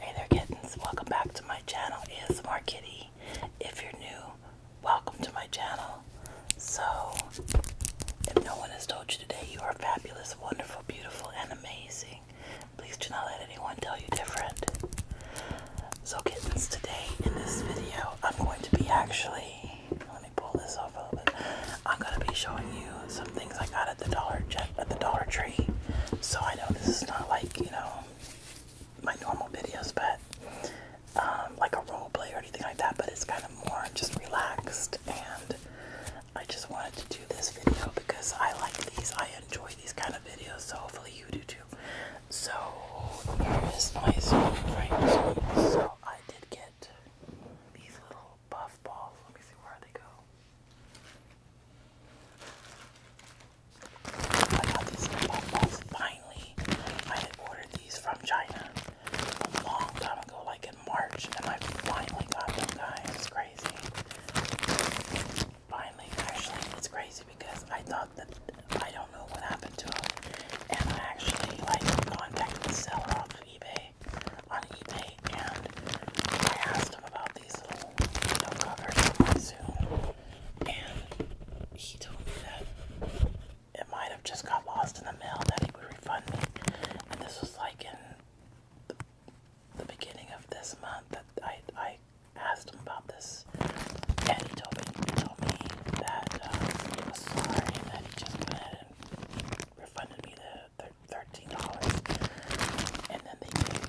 Hey there kittens, welcome back to my channel ASMR Kitty. If you're new, welcome to my channel. So, if no one has told you today, you are fabulous, wonderful, beautiful, and amazing. Please do not let anyone tell you different. So kittens, today in this video, I'm going to be actually, let me pull this off a little bit. I'm going to be showing you some things I got at the Dollar Tree. So I know this is not like you know, my normal videos, but um, like a role play or anything like that, but it's kind of more just relaxed. And I just wanted to do this video because I like these, I enjoy these kind of videos, so hopefully you do too. So, here is my Zoom frame. So, I did get these little buff balls. Let me see where they go. I got these bonbons finally. I had ordered these from China a long time ago, like in March, and I finally got them, guys. It's crazy. Finally, actually, it's crazy because I thought that I don't know what happened to them, and I actually like contacted the seller off of eBay on eBay, and I asked him about these little no cover sometime soon. And he told me that it might have just got lost in the mail that he would refund me. And this was like in the, the beginning of this month that I I asked him about this, and he told me he told me that um, he was sorry that he just went ahead and refunded me the thir $15. And then they gave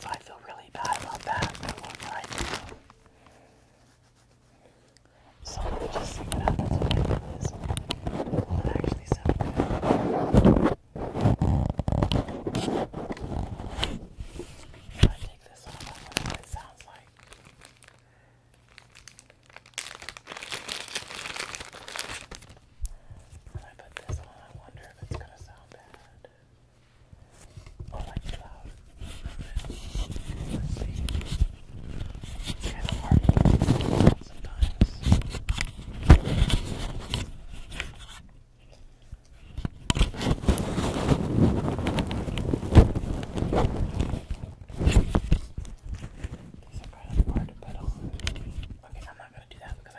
So I feel really bad about that. I love right now. So let me just see what happens when I do this. Will it actually sound good? If I take this off, I wonder what it sounds like. I put this on, I wonder if it's gonna sound bad. Or oh, like loud. let It's kind of hard sometimes. These are kind hard to put on. Okay, I'm not gonna do that because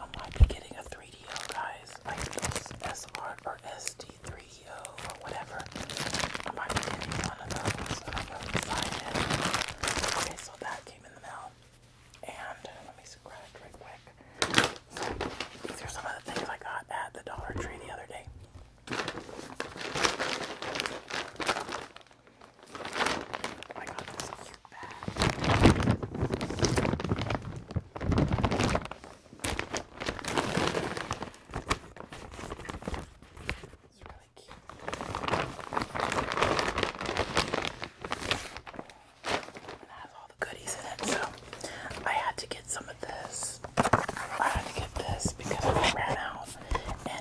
I might be getting a 3DO, guys, like those S or SD3DO or whatever. I might be getting one of those. Okay, so that came in the mail. And let me scratch right quick. these are some of the things I got at the Dollar Tree the other day. I got this cute bag. It's really cute. It has all the goodies in it, so I had to get some of this. I had to get this because I ran out,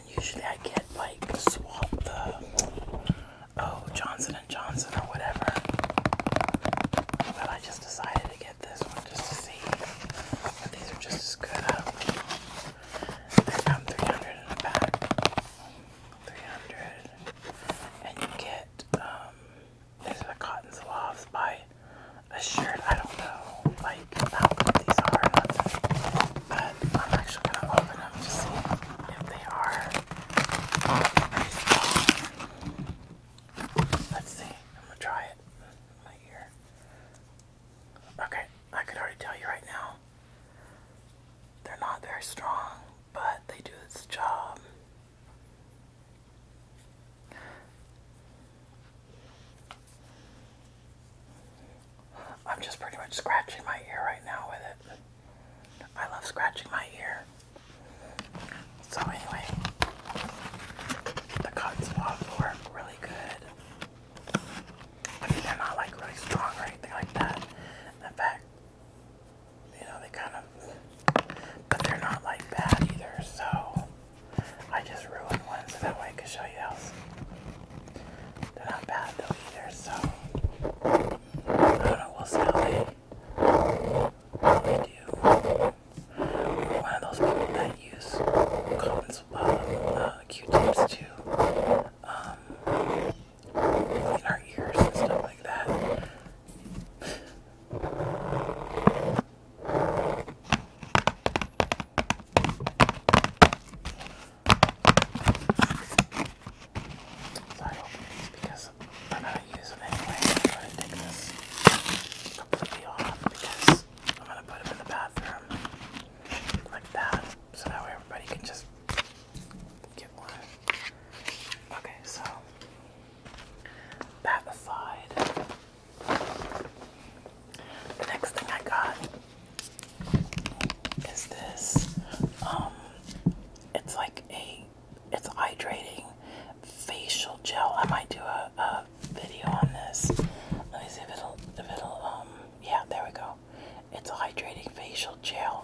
and usually I get like swap the oh Johnson and Johnson or whatever. But I just decided to get this one just to see. But these are just as good. I do 300 in a pack. 300. And you get um, these are cotton zouaves by a shirt. I don't know like how good these are but I'm actually gonna open them to see if they are. Let's see. I'm gonna try it. My ear. Okay, I could already tell you right now. They're not very strong, but they do its job. I'm just pretty much scratching my ear right now with it. I love scratching my ear. So anyway, the cuts off work really good. I mean, they're not like really strong or anything like that. In fact, you know, they kind of, but they're not like bad either. So I just ruined one so that way I can show you else. They're not bad though either, so I don't know, we'll see how they, do. one of those people that use comments uh, uh Q-tips to um, clean our ears and stuff like that. So I open these because I'm not gonna anyway. I'm gonna take this completely off because I'm gonna put them in the bathroom like that. So that way everybody can just get one. Okay, so that aside. The next thing I got is this. Um, it's like a it's hydrating facial gel. I might do a, a video on this. Let me see if it'll if it'll um yeah there we go. It's a hydrating facial gel.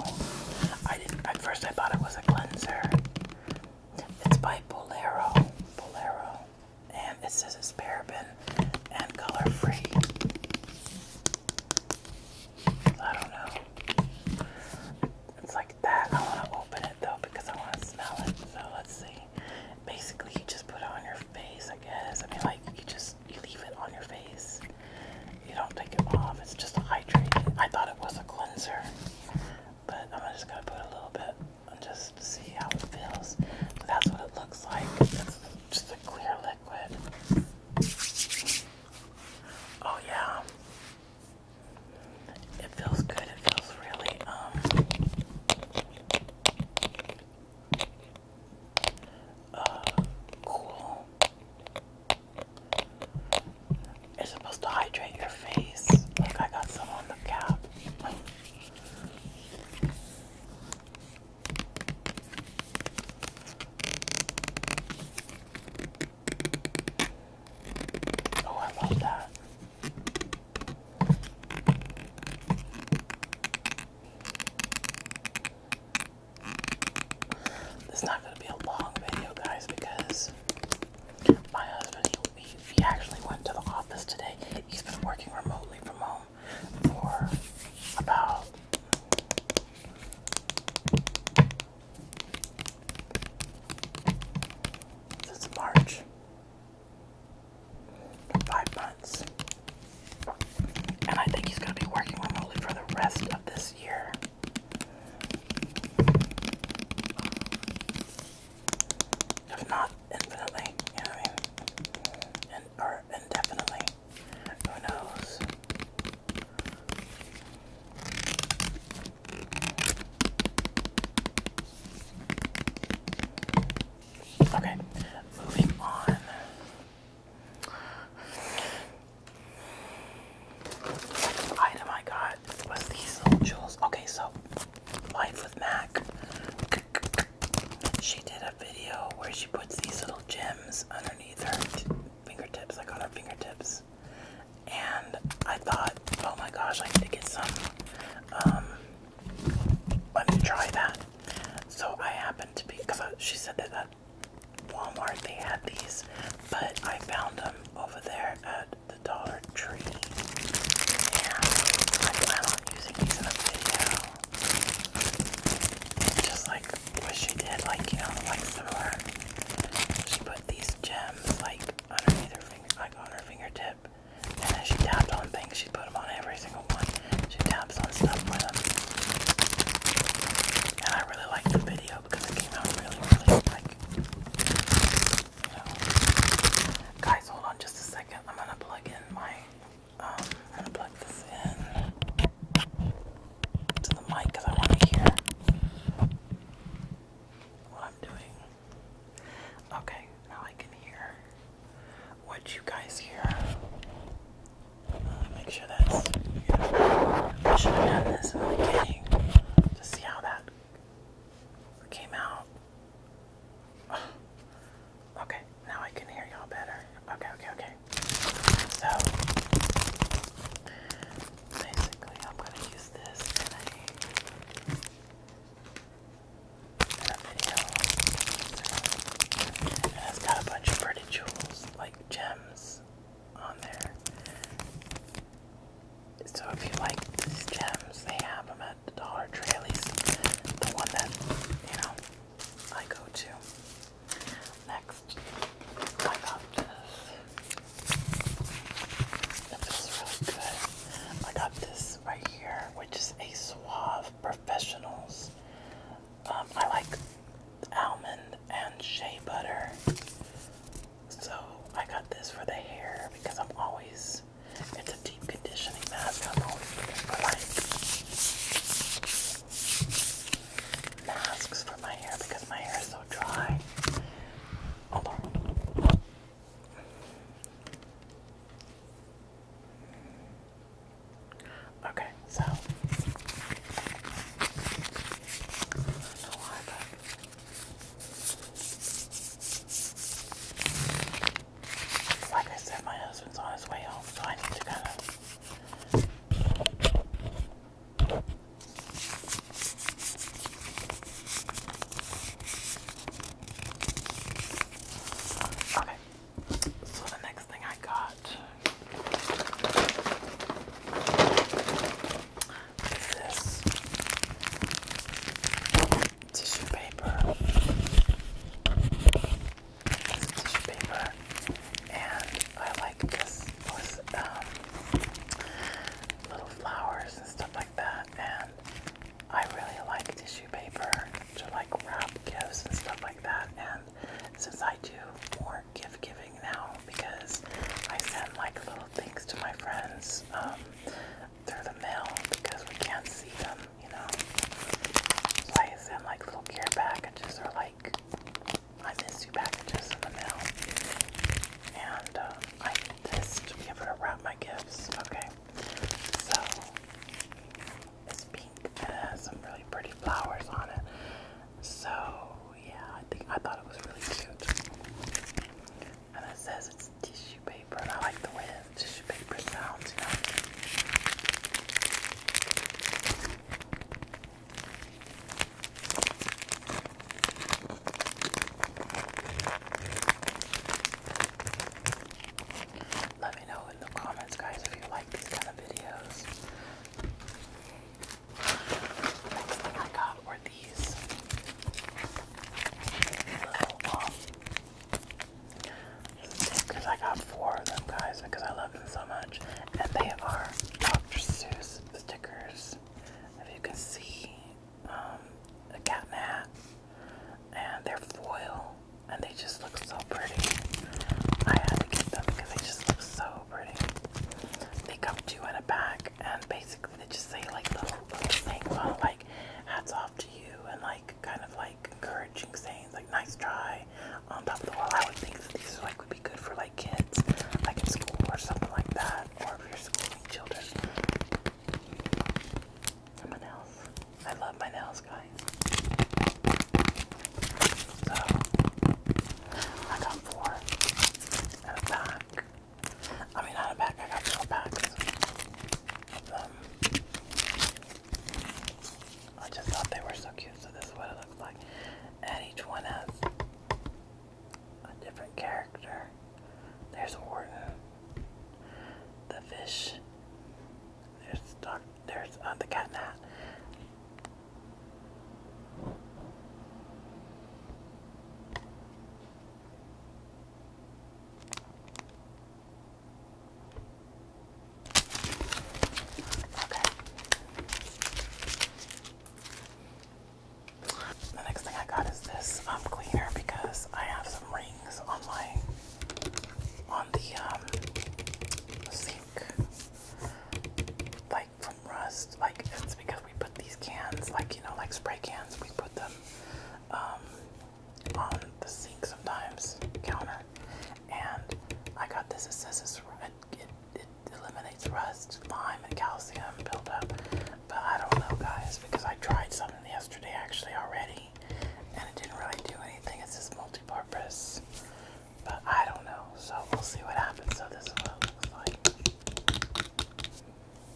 I didn't at first I thought it was a cleanser. It's by Bolero. Bolero. And it says it's paraben and color free. I don't know. It's like that. I want to open it though because I want to smell it. So let's see. Basically, you just put it on your face, I guess. I mean, like you just you leave it on your face. You don't take it off. It's just a hydrating. I thought it was a cleanser, but I'm just gonna put a little bit and just see how it feels. that's what it looks like. It's just a clear liquid. Oh yeah. It feels good. It feels really um uh, cool. It's supposed to hydrate your face. Look, I got some on the cap. Oh, I love that. This is not going to be a long video, guys, because my husband, he, he actually went to the office today. He's been working remotely from home for about this March. Five months. And I think he's going to be working remotely for the rest of this year. If not infinitely, you know what I mean? or indefinitely. Who knows? Okay, moving on. The item I got was these little jewels. Okay, so Life with Mac. She did a video where she puts these little gems underneath her fingertips. like on our fingertips. And I thought, oh my gosh, I need to get some. Um, let me try that. So I happened to be, because she said that at Walmart they had these, but I found them over there at the Dollar Tree. And I plan on using these in a video. Just like like what she did, like you know, like similar. She put these gems like underneath her finger, like on her fingertip, and then she tapped on things. She put them on every single one. She taps on stuff with them, and I really liked the video because it came out really, really like. You Guys, hold on just a second. I'm gonna plug in my. Um, I'm gonna plug this in to the mic because I want to hear what I'm doing. Okay, now I can hear what you guys hear. Uh, make sure that's. I should have done this in the beginning to see how that came out. Okay, now I can hear y'all better. Okay, okay, okay. So basically, I'm going to use this in a, in a video. And it's got a bunch of pretty jewels, like gems, on there. So if you like these gems, they have them at the Dollar Tree, at least the one that, you know, I go to. Next. I got this. It feels really good. I got this right here, which is a Suave Professionals. Um, I like almond and shea butter. So I got this for the hair because I'm always, it's a deep conditioning mask. I'm always for like masks for my hair because my hair is so dry. Hold on. Okay, so like I said, my husband's on his way home, so I need to kind of Okay, so the next thing I got is this tissue paper. tissue paper, and I like just was um, little flowers and stuff like that. And I really like tissue paper to like wrap gifts and stuff like that. And since I do more gift giving now because I send like little things to my friends um, through the mail because we can't see them, you know. So I send like little care packages or like I miss you packages in the mail. And um, I need this to be able to wrap my gifts. Okay. So it's pink and it has some really pretty flowers on it. So yeah, I think I thought it was really cute. And it says it's tissue paper and I like the way tissue paper sounds, you know. Let me know in the comments, guys, if you like these kind of videos. Next thing I got were these little um, I got four of them, guys, because I love love so much. And they are Dr. Seuss stickers. If you can see, a um, cat in And they're foil. And they just look so pretty. I had to get them because they just look so pretty. They come two in a pack, and basically they just say like little, things like hats off to you, and like kind of like encouraging sayings like nice try, on um, top of the wall. I would think these like would be good for like kids, like in school or something like that, or if you're children. my nails. I love my nails, guys. So I got four and a pack. I mean, not a pack. I got four packs. I just thought they were so cute, so this is what it looks like and each one has a different character. There's Orton, the fish. There's Doc. There's uh, the cat in the hat. Okay. The next thing I got is this um, cleaner because I have some rings on my on um, the sink, like from rust. Like it's because we put these cans, like you know, like spray cans. We put them um, on the sink sometimes counter, and I got this. It says it's it, eliminates rust, lime, and calcium buildup. But I don't know, guys, because I tried something yesterday actually already, and it didn't really do anything. It's just multi-purpose, but I don't know. So we'll see what happens. So this is what looks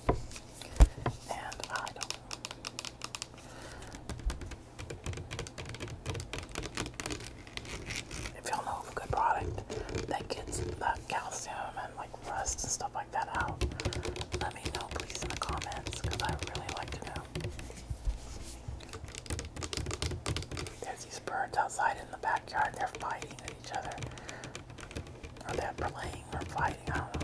like, and I don't if y'all know of a good product that gets the uh, calcium and like rust and stuff like that out, let me know please in the comments because I really like to know. There's these birds outside in the backyard, they're fighting each other. Are they playing or fighting, I don't know.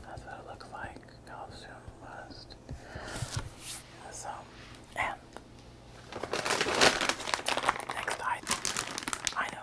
That's what it looks like. Calcium must. So, and next item. I know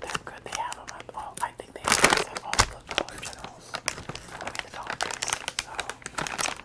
That's good. They have them at I think they have all the Dollar Generals. I mean, the Dollar Trees. So.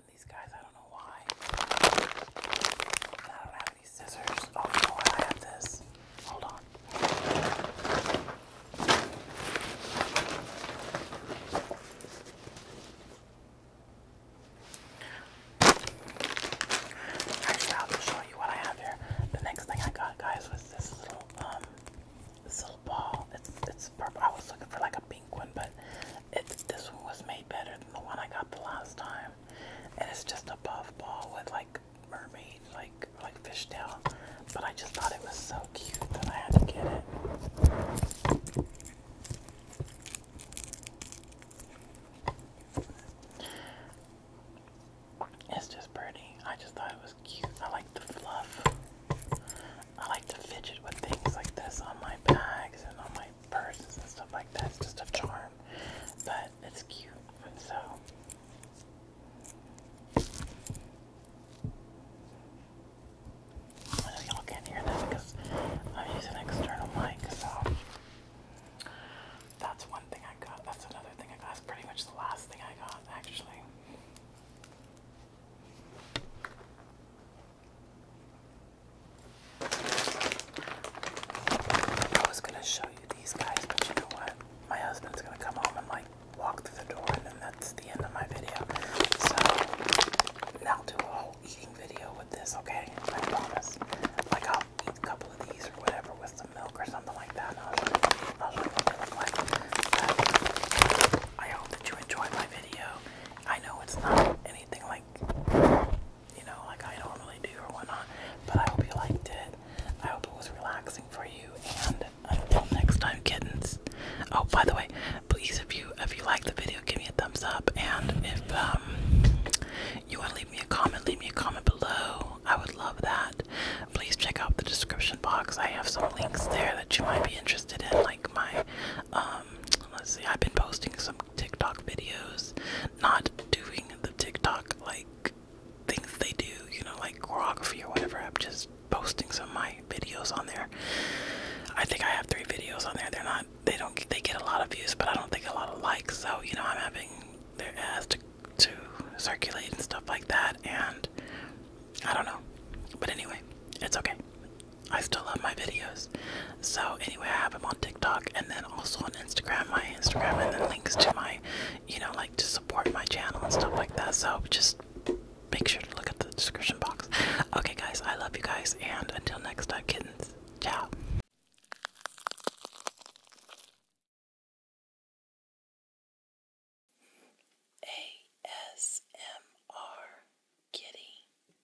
these guys. I don't know why. I don't have any scissors. Oh, you I have this. Hold on. Actually, I'll show you what I have here. The next thing I got, guys, was this little um, this little ball. It's it's purple. I was looking for like a pink one, but it, this one was made better than the one I got the last time, and it's just a puffball with like mermaid, like like fishtail. But I just thought it was so cute that I had to get it. It's just pretty. I just thought it was cute. I like the fluff. I like to fidget with things like this on my bags and on my like purses and stuff like that. just a charm, but it's cute. And so. I know y'all can't hear that because I'm an external mic, so that's one thing I got. That's another thing I got. That's pretty much the last thing I got, actually. I was gonna show you these guys, but you know what? My husband's gonna come home and like walk through the door, and then that's the end of my video. So, i do a whole eating video with this, okay? I promise. Like, eat a couple of these or whatever with some milk or something like that, i hope that you enjoyed my video. I know it's not anything like you know like I normally do or whatnot. But I hope you liked it. I hope it was relaxing for you. And until next time, kittens. Oh, by the way, please if you if you like the video, give me a thumbs up. And if um you want to leave me a comment, leave me a comment below. I would love that. Please check out the description box. I have some links there that you might be interested in, like my um, let's see, I've been posting some TikTok videos, not doing the TikTok like things they do, you know, like choreography or whatever. I'm just posting some of my videos on there. I think I have three videos on there. They're not, they don't, they get a lot of views, but I don't think a lot of likes. So, you know, I'm having their ads to, to circulate and stuff like that. And I don't know. But anyway, it's okay. I still love my videos. So anyway, I have them on TikTok and then also on Instagram, my Instagram, and then links to my, you know, like to support my channel and stuff like that. So just make sure to look at the description box. Okay, guys, I love you guys, and until next time, kittens. Ciao. ASMR Kitty